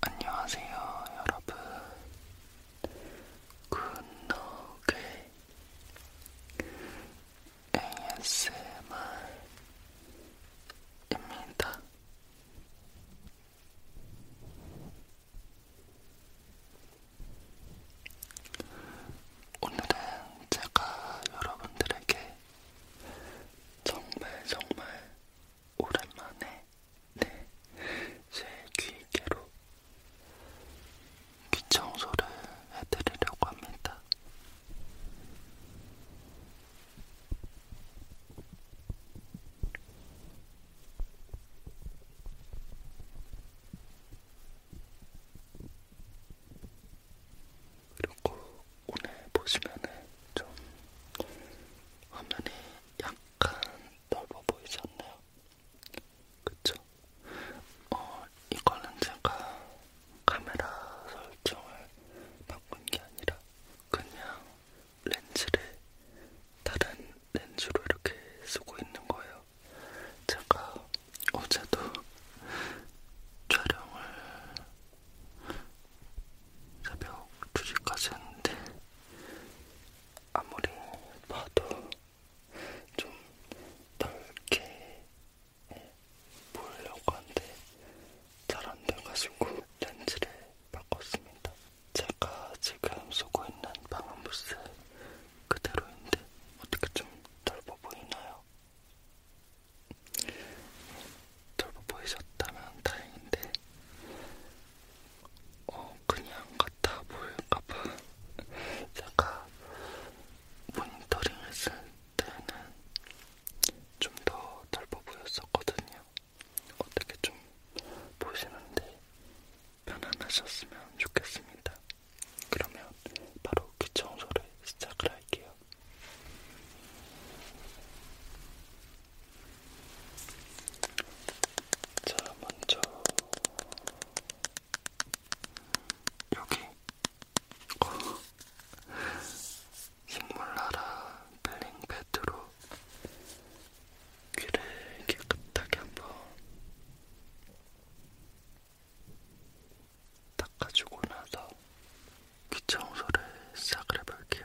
안녕하세요, 여러분. 굿노게 ASMR입니다. 오늘은 제가 여러분들에게 정말 정말 오랜만에 내제 네, 귀개로 귀 청소를 해드리려고 합니다. 그리고 오늘 보시면은 좀 화면이 약간 넓어 보이지 않나요? 그쵸? 어, 이거는 제가 카메라 설정을 바꾼 게 아니라 그냥 렌즈를 다른 렌즈로 이렇게 쓰고 있는 거예요. 제가 어제도 촬영을 새벽 2시까지 했는데 아무리 봐도 좀 넓게 보려고 하는데 잘안 돼가지고 렌즈를 바꿨습니다. 제가 지금 쓰고 있는 방음부스 그대로인데 어떻게 좀 넓어 보이나요? 덜 보이셨다면 다행인데 어 그냥 같아 보일까봐 제가 모니터링 했을 때는 좀더 덜어 보였었거든요. 어떻게 좀 보시는데 편안하셨으면 좋겠습니다. 그러면 바로 귀 그 청소를 시작을 할게요. 자, 먼저 여기 어. 식물나라 벨링 패드로 귀를 깨끗하게 한번 닦아주고 나서 귀청소를 시작을 해볼게요.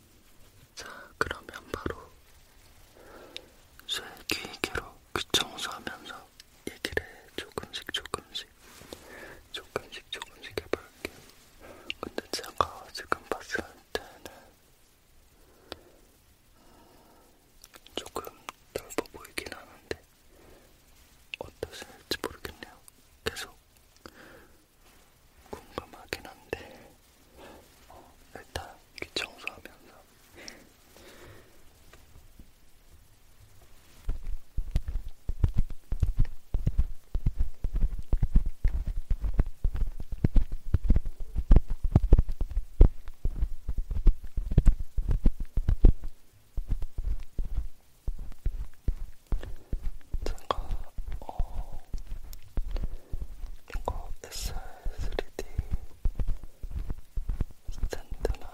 자, 그러면 바로 쇠귀개로 귀 청소하면서 얘기를 조금씩 조금씩 조금씩 조금씩 해볼게요. 근데 제가 지금 봤을 때는 조금 넓어 보이긴 하는데 어떠실지 모르겠네요. 계속 궁금하긴 한데 어, 일단 귀 청소하면서 제가 어, 이거 SR3D 스탠드만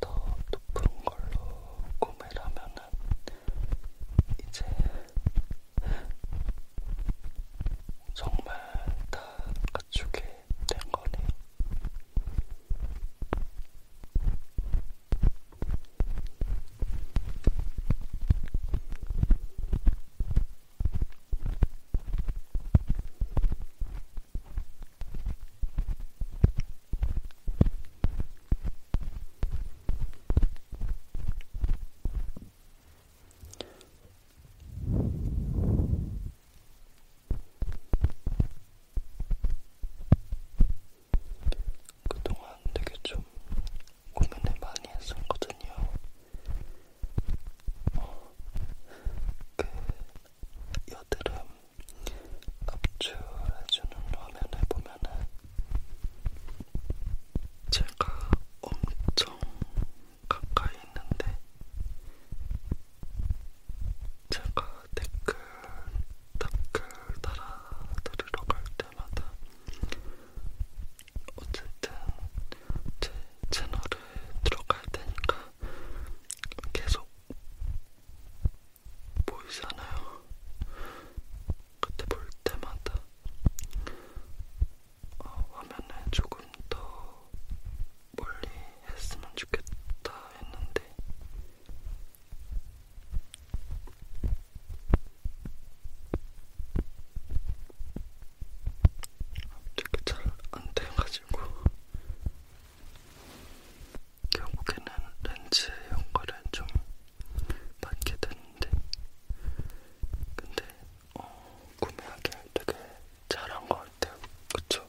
더 높은 걸로 구매를 하면은 이제 정말 다 갖추게 된 거네요. 그동안 되게 좀 고민을 많이 했었거든요. 어, 그 여드름 압출해주는 화면을 보면은 제가 엄청 가까이 있는데 제가 댓글 댓글 달아드리러 갈 때마다 어쨌든 제 채널에 들어갈 테니까 계속 보이잖아요. 그때 볼 때마다 어, 화면에 조금 더 멀리 했으면 좋겠다 했는데 어떻게 잘안 돼가지고 결국에는 렌즈 연결을 좀 받게 됐는데 근데 어, 구매하기 되게 잘한 것 같아요. 그쵸?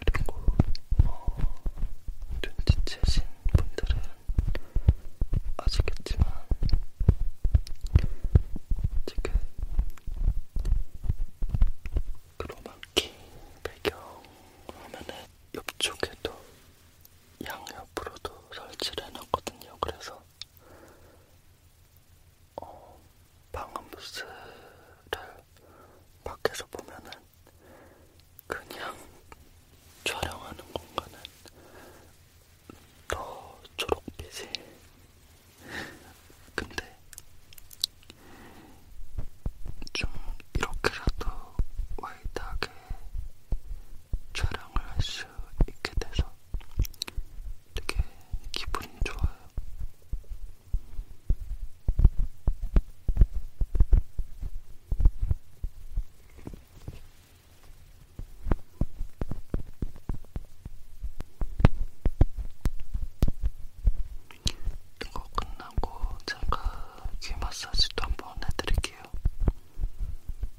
그리고 어, 눈치채신 분들은 아시겠지만 지금 크로마키 배경 화면은 옆쪽에도 양옆으로도 설치를 해놨거든요. 그래서 어, 방음부스를 밖에서 보면은 그냥 촬영하는 공간은 더 초록빛이 근데 좀 이렇게라도 와이드하게 촬영을 할 수 있게 돼서 되게 기분이 좋아요. 이거 끝나고 제가 귀 마사지도 한번 해드릴게요.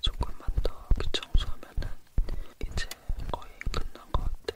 조금만 더 귀청소하면은 이제 거의 끝난 것 같아요.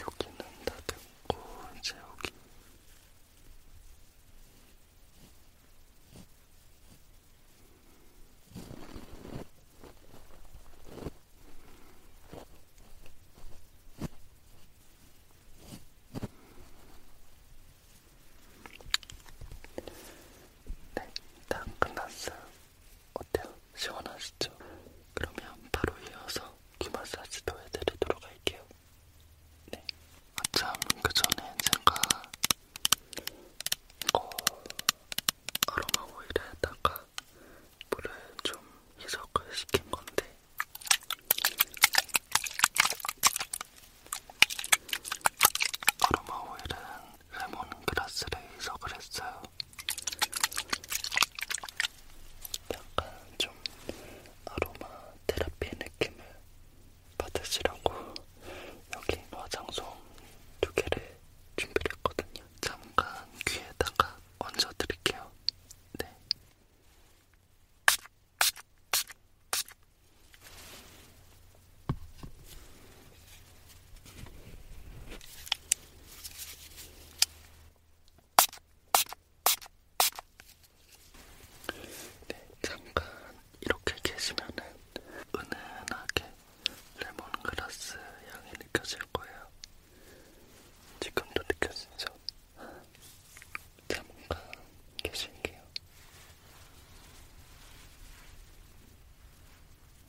여기는 다듬고 이제 여기 네, 다 끝났어요. 어때요? 시원하시죠? 그러면 바로 이어서 귀 마사지도 해드리도록 할게요. 네. 아참, 그 전에 제가 어, 아로마 오일에다가 물을 좀 희석을 시킨 건데 아로마 오일은 레몬그라스를 희석을 했어요. 약간 좀 아로마 테라피 느낌을 받으시라고 여기 화장솜 두 개를 준비를 했거든요. 잠깐 귀에다가 얹어드릴게요. 네. 네, 잠깐 이렇게 계시면은 은은하게 레몬그라스 향이 느껴질 거예요. 지금도 느껴지죠? 잠깐 계실게요.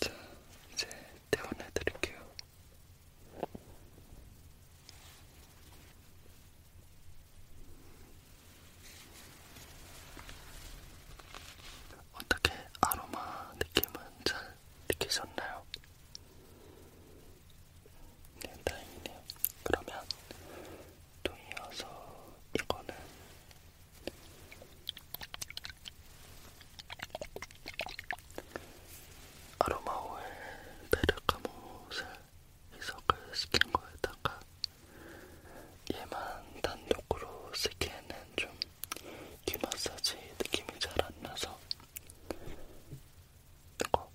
자, 이제 떼어내 드릴게요. 어떻게 아로마 느낌은 잘 느끼셨나요? 네, 다행이네요. 그러면 또 이어서 이거는 아로마오일 베르카못을 희석을 시킨 거에다가 얘만 단독으로 쓰기에는 좀 귀마사지 느낌이 잘 안 나서 이거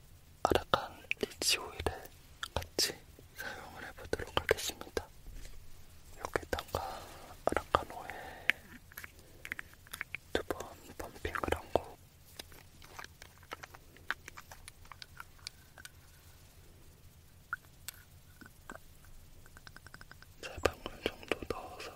아라칸 리치 오일에 같이 사용을 해보도록 하겠습니다. 여기다가 아라칸 오일 두번 펌핑을 한거 세 방울 정도 넣어서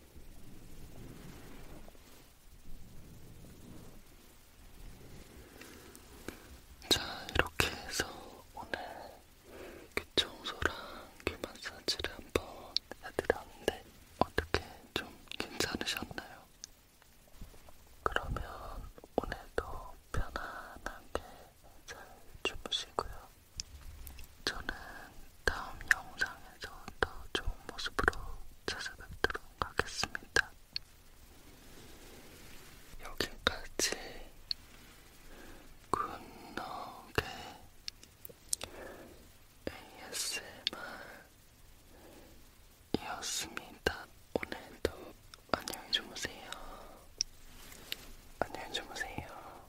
자, 이렇게 해서 오늘 귀 청소랑 귀 마사지를 한번 해드렸는데 어떻게 좀 괜찮으셨나요? 그러면 오늘도 편안하게 잘 주무시고요. 저는 다음 영상에서 더 좋은 모습으로 찾아뵙도록 하겠습니다. 여기까지 굿노게 ASMR이었습니다. 오늘도 안녕히 주무세요. 안녕히 주무세요.